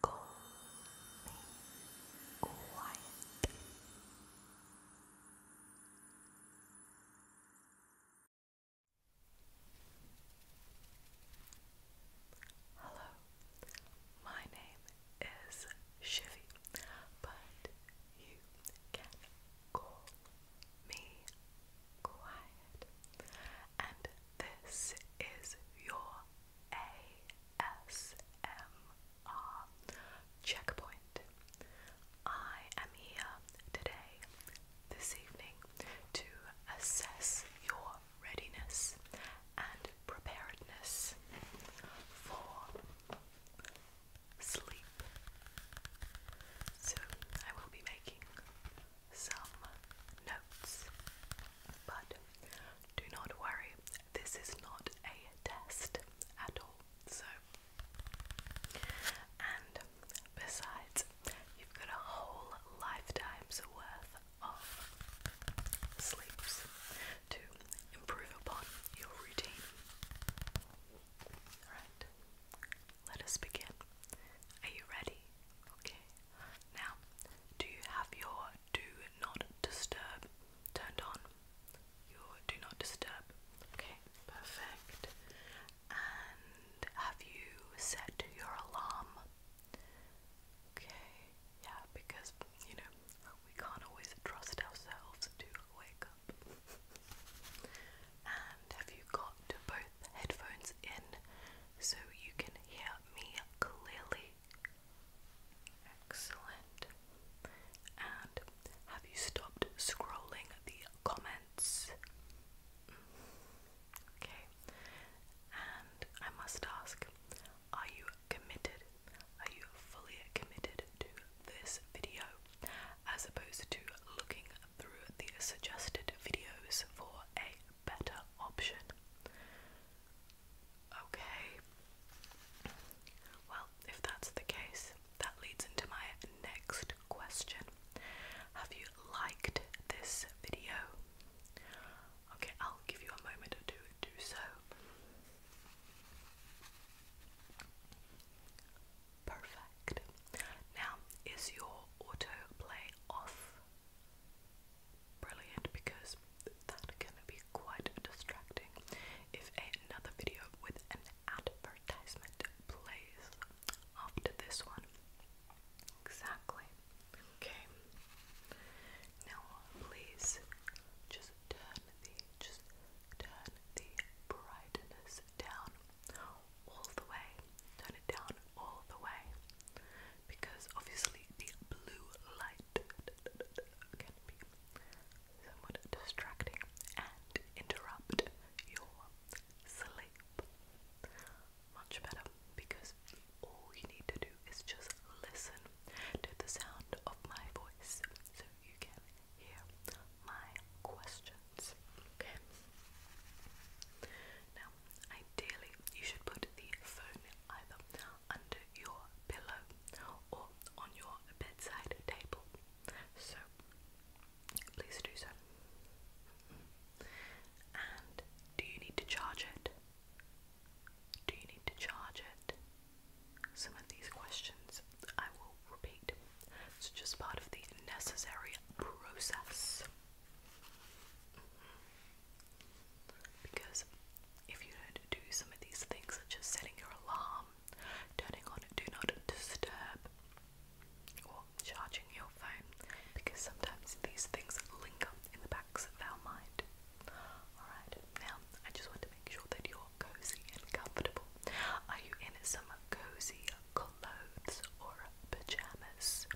quiet. Hello, my name is Shivy, but you can call me quiet. And this is your ASMR checkpoint. I am here today, this evening, to assess your readiness and preparedness for sleep. So, I will be making some notes. But do not worry, this is not a test at all. So, and besides, you've got a whole lifetime's worth of sleeps to improve upon your routine. Alright, let us begin. Are you ready? Okay, now, do you have your do not disturb turned on? Your do not disturb. Okay, perfect. And have you set your alarm? Okay, yeah, because you know, we can't always trust ourselves to wake up. And have you got both headphones in so you can hear me clearly. Excellent. And have you stopped scrolling the comments? Okay. And I must ask, are you committed? Are you fully committed to this video as opposed to looking through the suggested videos for a better option. Okay, well, if that's the case, that leads into my next question. Have you liked this video? I'll give you a moment to do so. Perfect. Now, is your autoplay off? brilliant because that can be quite distracting if another video with an advertisement plays after this one. Exactly. Okay. Now please just turn the just turn the brightness down all the way, turn it down all the way, because obviously the blue light can be somewhat distracting and interrupt your sleep. Much better because all you need to do is just listen to the sound of my voice so you can hear my questions. Okay? Now, ideally, you should put the phone either under your pillow or on your bedside table. So, please do so. And do you need to charge it? Do you need to charge it? Some of these questions I will repeat. It's just part of the necessary process. Because if you don't do some of these things, such as setting your alarm, turning on Do Not Disturb, or charging your phone, because sometimes these things linger in the backs of our mind. Alright, now I just want to make sure that you're cozy and comfortable. Are you in some cozy clothes or pajamas?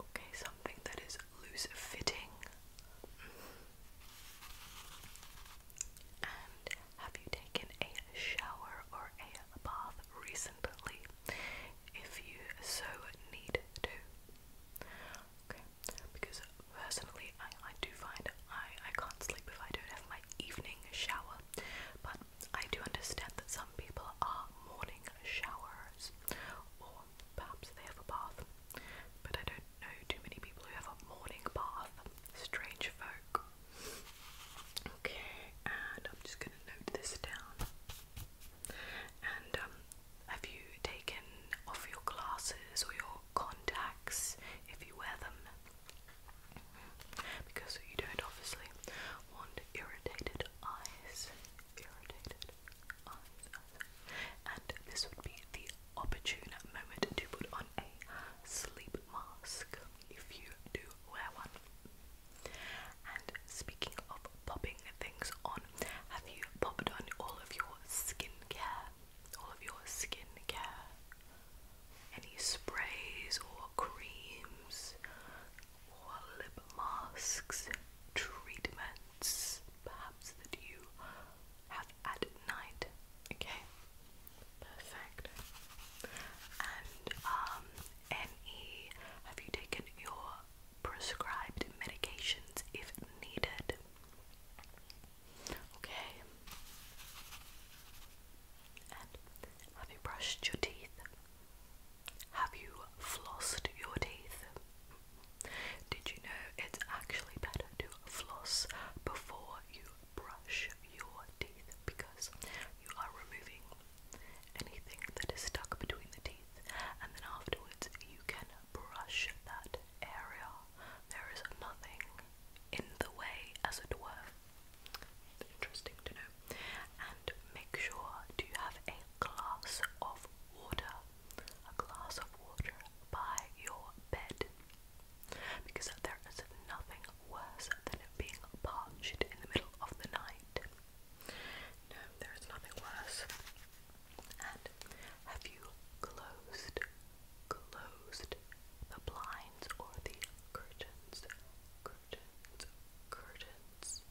Okay, something that is loose fitting. And have you taken a shower or a bath recently? If you so need to. Okay, because personally, I, I do find I, I can't sleep if I don't have my evening shower. But I do understand that some people are morning showers or perhaps they have a bath, but I don't know too many people who have a morning bath. Strange folk. Okay, and I'm just gonna note this down. And um, have you taken off your glasses or your contacts if you wear them? Because you don't, obviously want irritated eyes, irritated eyes, and this would be the opportune moment to put on a sleep mask if you do wear one. And speaking of popping things on, have you popped on all of your skincare? All of your skincare? Any sprays or creams? lip masks, treatments perhaps that you have at night. Okay, perfect. And um, any, have you taken your prescribed medications if needed? Okay. have you brushed your teeth? Have you flossed your teeth? Did you know it's actually better to floss before you brush your teeth because you are removing anything that is stuck between the teeth and then afterwards you can brush that area. There is nothing in the way, as it were interesting to know. And make sure to have a glass of water, a glass of water by your bed, because there is nothing worse than being parched in the middle of the night. No, there is nothing worse. And have you closed, closed the blinds or the Curtains curtains,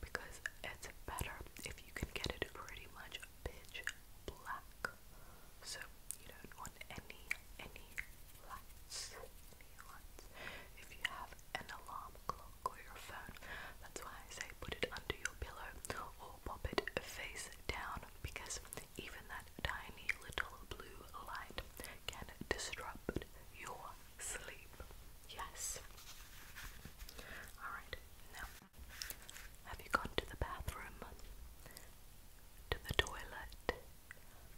because it's better if you can get it pretty much pitch black. So you don't want any any lights, If you have an alarm clock or your phone, that's why I say put it under your pillow or pop it face down because even that tiny little blue light can disrupt your sleep. Yes. Alright, now, have you gone to the bathroom? To the toilet?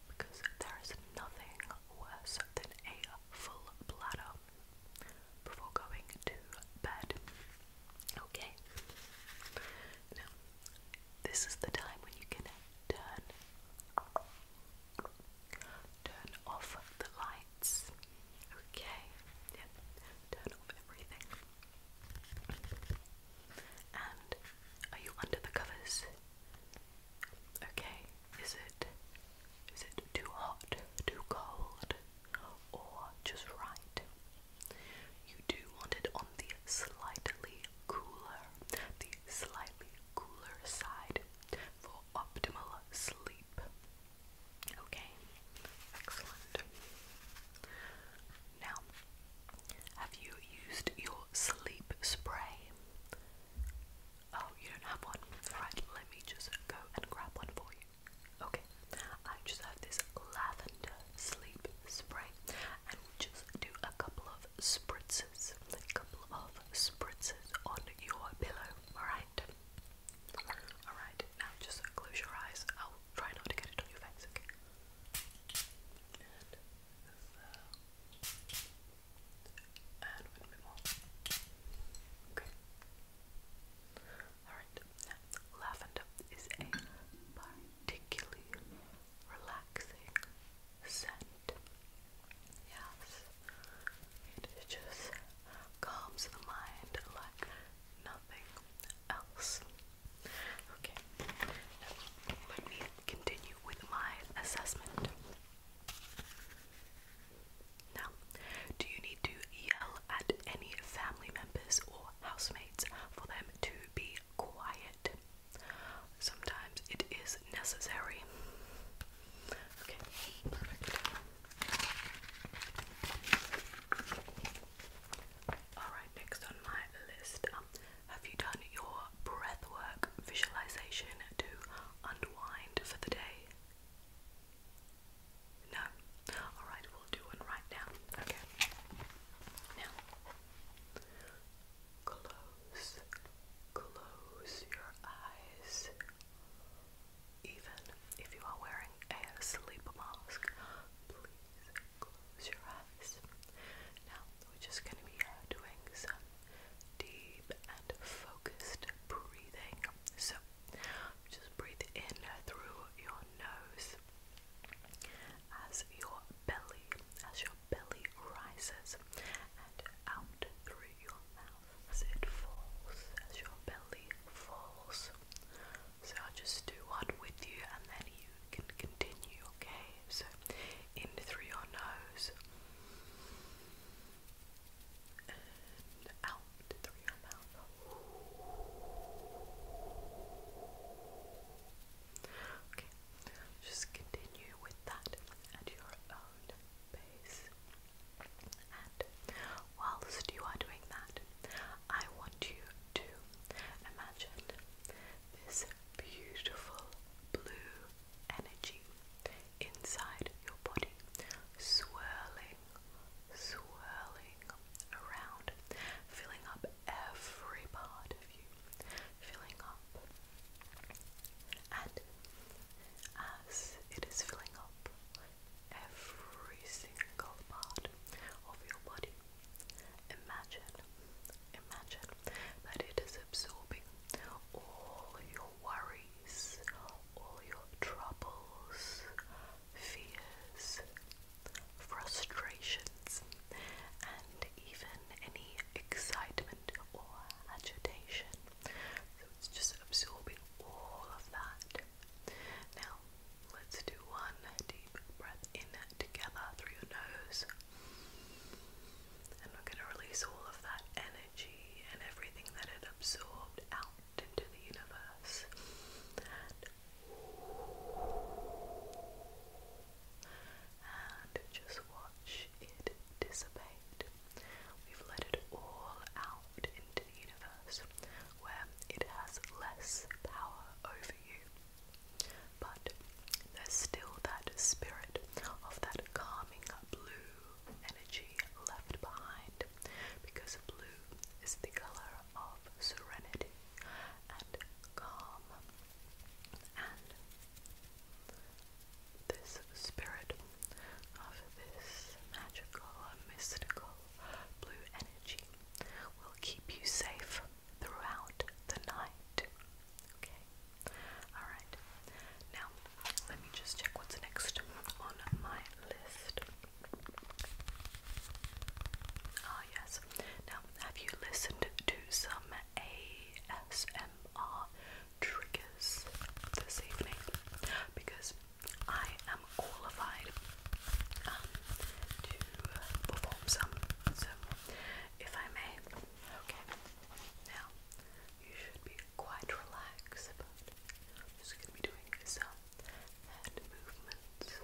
Because there is nothing worse than a full bladder before going to bed. Okay? Now, this is the time when you can turn turn off the lights. Okay. Yep. Turn off everything. And are you under the covers? Okay. Is it is it too hot, too cold, or just right? You do want it on the slightly cooler, the slightly cooler side for optimal sleep. Okay, excellent. Now, have you used your sleep spray? Oh, you don't have one? Right, let me just go and grab one for you. Okay, I just have this lavender sleep spray, just do a couple of spritzes, a couple of spritzes on your pillow, alright? Alright, now just close your eyes. I'll try not to get it on your face, Okay. Alright, now lavender is a particularly relaxing scent. Yes, it just calms the mind like nothing else. Okay, let me continue with my assessment. Now, do you need to yell at any family members or housemates for them to be quiet? Sometimes it is necessary. Okay, perfect. Alright, next on my list um, have you done your breath work visualization to unwind for the day? No? Alright, we'll do one right now. Okay. Now, Close, close your eyes. Even if you are wearing a sleep mask, please close your eyes. Now we're just going to be uh, doing some deep and focused breathing. So just breathe in through your nose as your belly, as your belly rises, and out through your mouth as it falls, as your belly falls. So I'll just do one with you and then you can continue, okay? So in through your nose and out through your mouth. Okay, just continue with that at your own pace. And whilst you are doing that, I want you to imagine this beautiful blue energy inside your body swirling, swirling around, filling up every part of you, filling up. And as it is filling up every single part of your body, imagine, imagine that it is absorbing all your worries, all your troubles, fears, frustrations, and even any excitement or agitation. it's just absorbing all of that. Now, let's do one deep breath in together through your nose. And we're going to release all of that energy and everything that it absorbed out into the universe and just watch it dissipate. We've let it all out into the universe where it has less power over you. But there's still that spirit of that calming blue energy left behind because blue is the colour of serenity and calm. And this spirit of this magical, mystical blue energy will keep you safe throughout the night. Okay? Alright. Now, let me just check what's next on my list. Ah, yes, now, have you listened to some ASMR triggers this evening? Because I am qualified um, to perform some, if I may, okay. Now, you should be quite relaxed, I'm just going to be doing some hand movements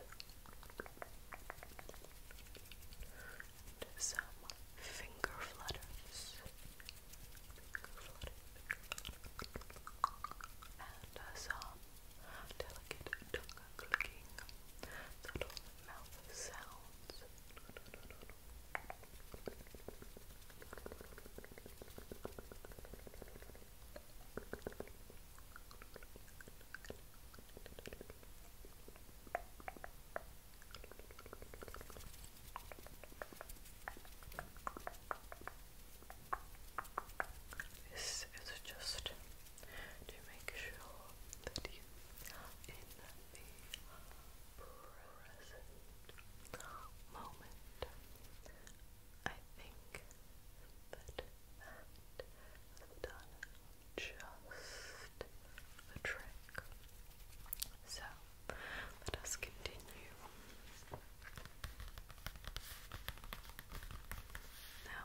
and some finger flutters. And uh, some delicate clicking, subtle mouth sounds. This is just to make sure that you in the present moment. I think that that done just the trick. So let us continue. Now,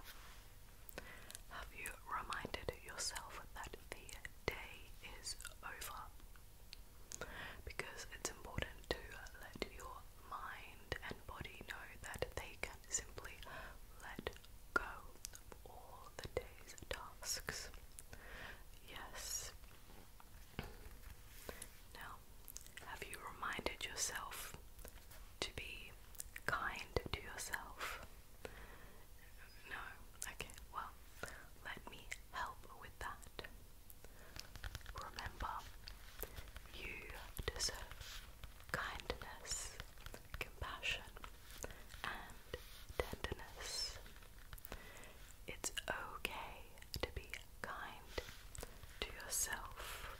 have you reminded yourself that the day is over? Because it's important to let your mind and body know that they can simply let go all the day's tasks. Yes. Now, have you reminded yourself to be kind to yourself? No. Okay, well, let me help with that. Remember, you deserve kindness compassion, and tenderness. It's okay to be kind to yourself.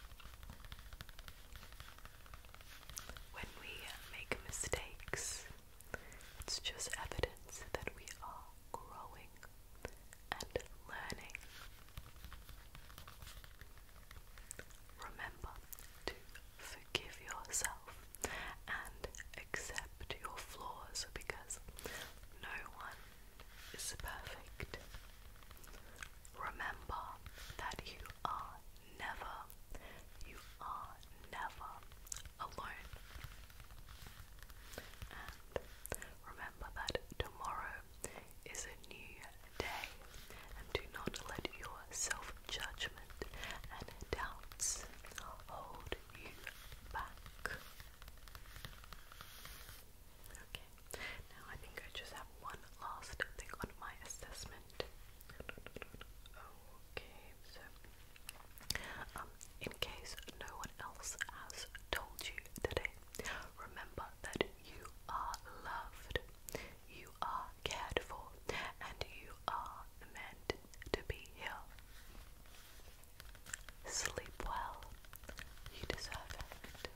When we make mistakes, it's just evidence that we are growing and learning. Remember to forgive yourself and accept your flaws because no one is perfect. Remember that you are never, you are never alone. And remember that tomorrow is a new day, and do not let your self judgment and doubts hold you back. Okay, now I think I just have one last thing on my assessment. Okay, so um, in case no one else has told you today, remember that you are loved, you are cared for and you are meant to be here. Sleep well, you deserve it.